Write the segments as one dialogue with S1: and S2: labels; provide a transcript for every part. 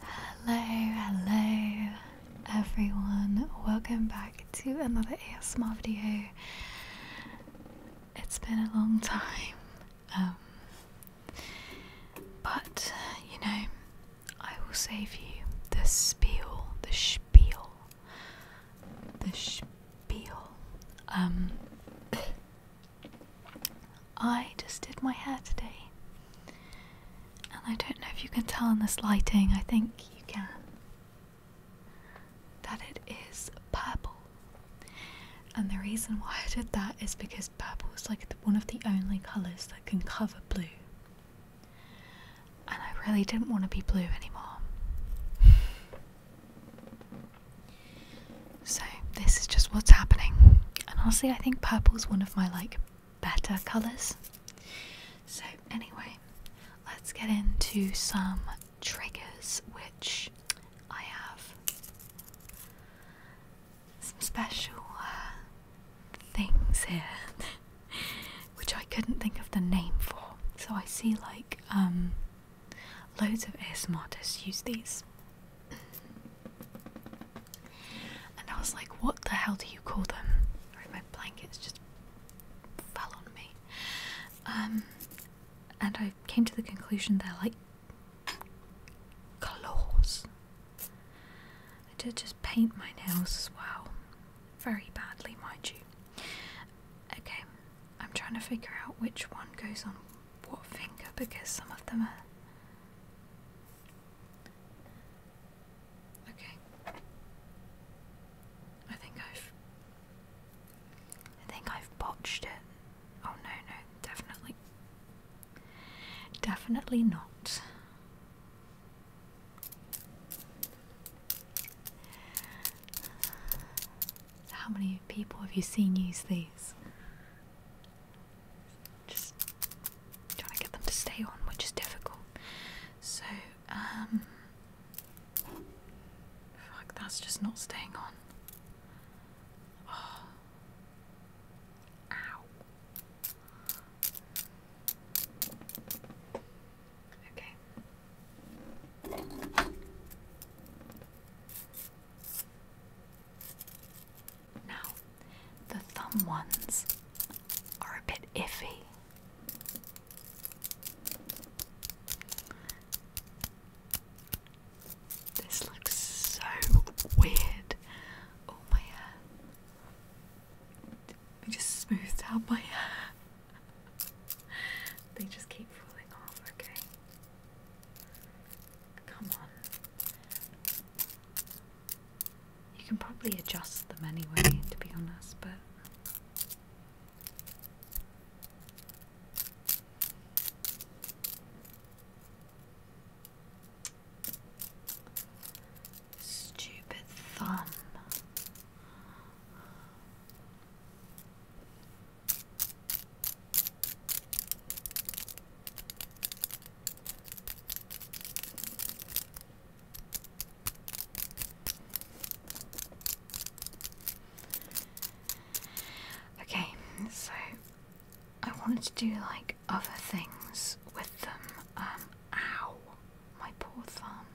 S1: Hello, hello everyone. Welcome back to another ASMR video. It's been a long time. Um, but you know, I will save you the spiel, the spiel, the spiel. Um I just did my hair today. And I don't know if you can tell in this lighting, I think you can, that it is purple. And the reason why I did that is because purple is like one of the only colours that can cover blue. And I really didn't want to be blue anymore. So this is just what's happening. And honestly, I think purple is one of my like better colours. So anyway, let's get into some triggers which I have some special uh, things here which I couldn't think of the name for. So I see like um loads of ASMRtists use these and I was like, what the hell do you call them? my blankets just fell on me. Um, and I came to the conclusion they're like claws. I did just paint my nails as well. Very badly, mind you. Okay, I'm trying to figure out which one goes on what finger because some of them are. Okay. I think I've. I think I've botched it. Oh no, no, definitely. Definitely not how many people have you seen use these? Just trying to get them to stay on, which is difficult. So, um, fuck, that's just not staying on. Oh. Ow. Okay. Now, the thumb ones are a bit iffy. This looks so weird. Oh, my hair. They just smoothed out my hair. they just keep falling off, okay? Come on. You can probably adjust them anyway, to be honest, but. Stupid thumb. Okay, so I wanted to do like other things with them. Um, ow, my poor thumb.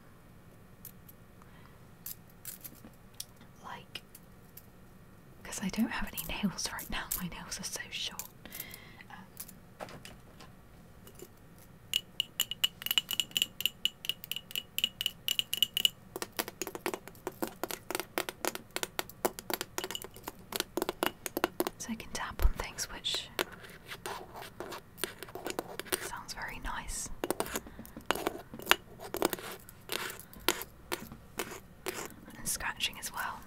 S1: Like because I don't have any nails right now. My nails are so short. so I can tap on things, which sounds very nice and scratching as well.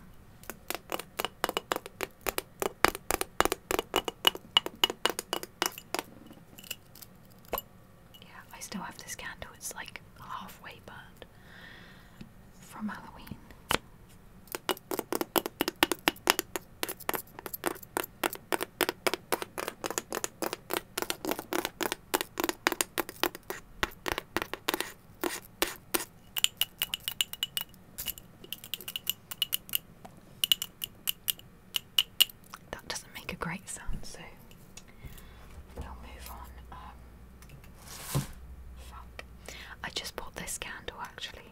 S1: Yeah, I still have this candle, it's like halfway burned from Halloween. That doesn't make a great sound, so we'll move on. Um, fuck. I just bought this candle actually.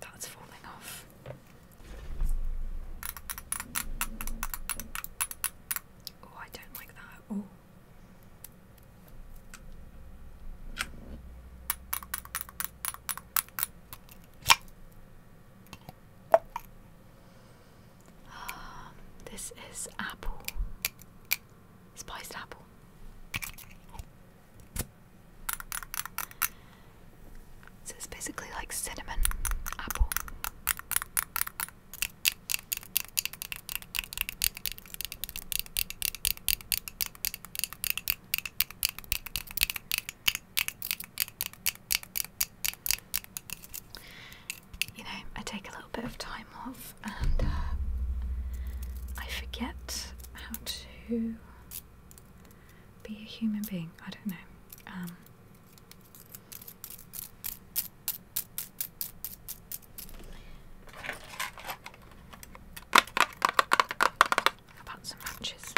S1: That's falling off. Oh, I don't like that. Oh. Um, this is apple, spiced apple. So it's basically like cinnamon apple. You know, I take a little bit of time off and uh, I forget how to be a human being. I don't know. Um, about some matches.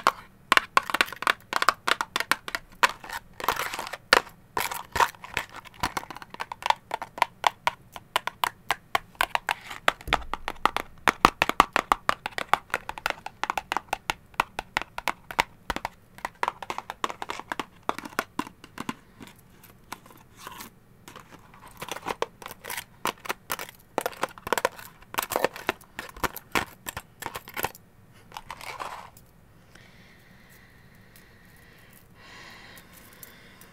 S1: I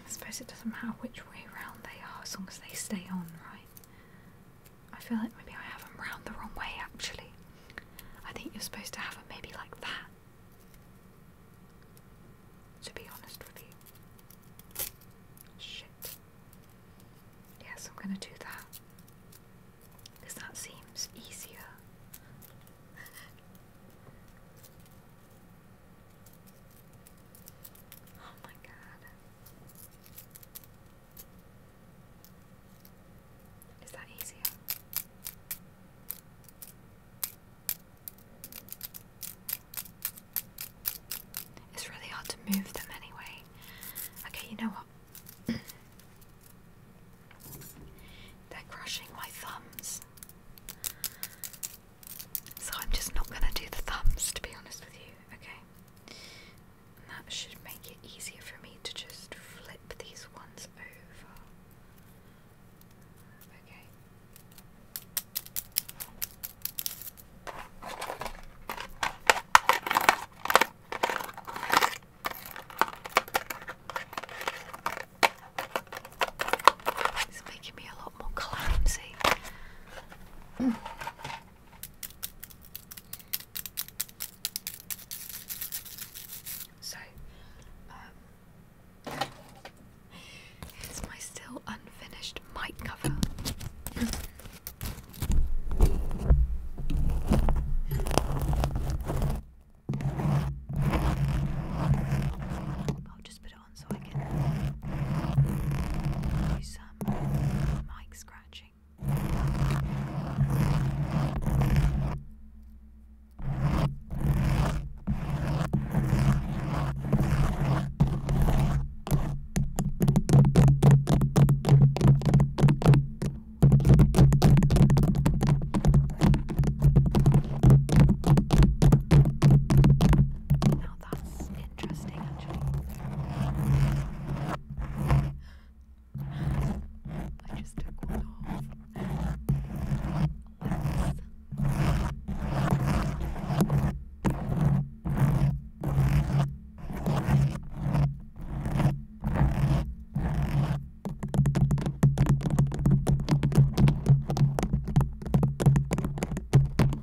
S1: suppose it doesn't matter which way round they are as long as they stay on, right? I feel like maybe I have them round the wrong way actually. I think you're supposed to have them maybe like that. To be honest with you. Shit. Yes, I'm gonna do that. Because that seems easier. oh my god. Is that easier? It's really hard to move them anyway. Okay, you know what? They're crushing my thumbs. So I'm just not going to do the thumbs, to be honest with you, okay? that should make it easier for me to just flip these ones over. Okay. It's making me a lot more clumsy. Mm. So, um, here's my still unfinished mic cover. I'll just put it on so I can do some um, mic scratch watching. Now, that's it interesting actually. I just took one off. Yes.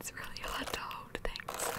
S1: It's really hard to hold Thanks.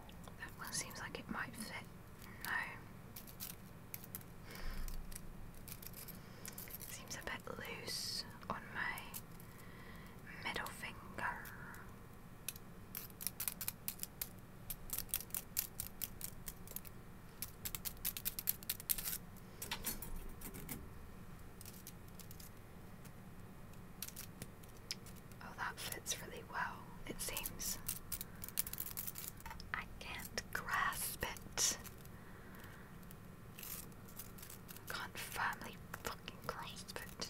S1: That one seems like it might fit no. Seems a bit loose on my middle finger. Oh, that fits really well, it seems. I can't grasp it. Can't firmly fucking grasp it.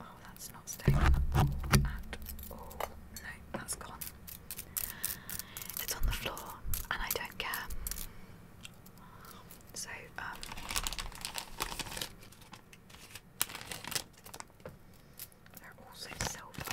S1: Oh, that's not staying at all. No, that's gone. It's on the floor, and I don't care. So, um, they're also silver. Silver.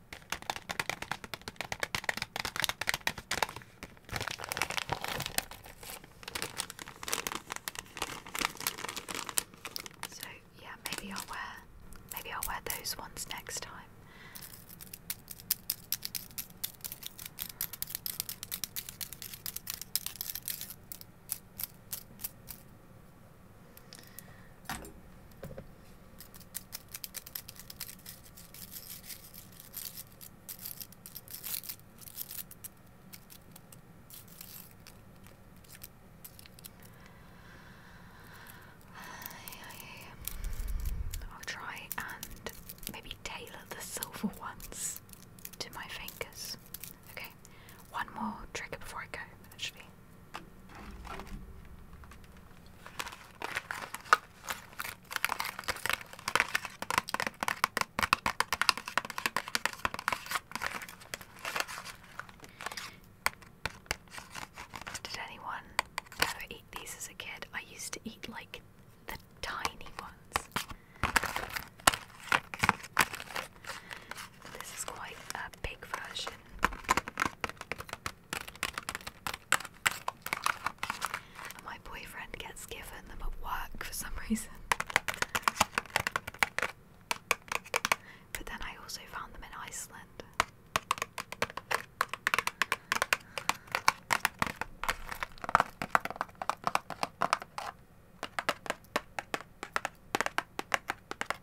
S1: So yeah, maybe I'll wear maybe I'll wear those ones next time. I'll try and maybe tailor the silver ones to my fingers. Okay, one more trigger before I go, actually. Did anyone ever eat these as a kid? I used to eat like the tiny ones. This is quite a big version my boyfriend gets given them at work for some reason. But then I also found them in Iceland.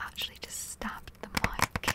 S1: Actually, just stabbed the mic.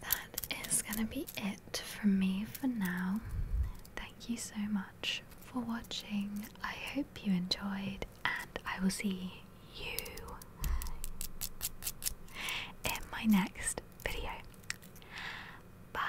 S1: that is going to be it for me for now. Thank you so much for watching. I hope you enjoyed, and I will see you in my next video. Bye.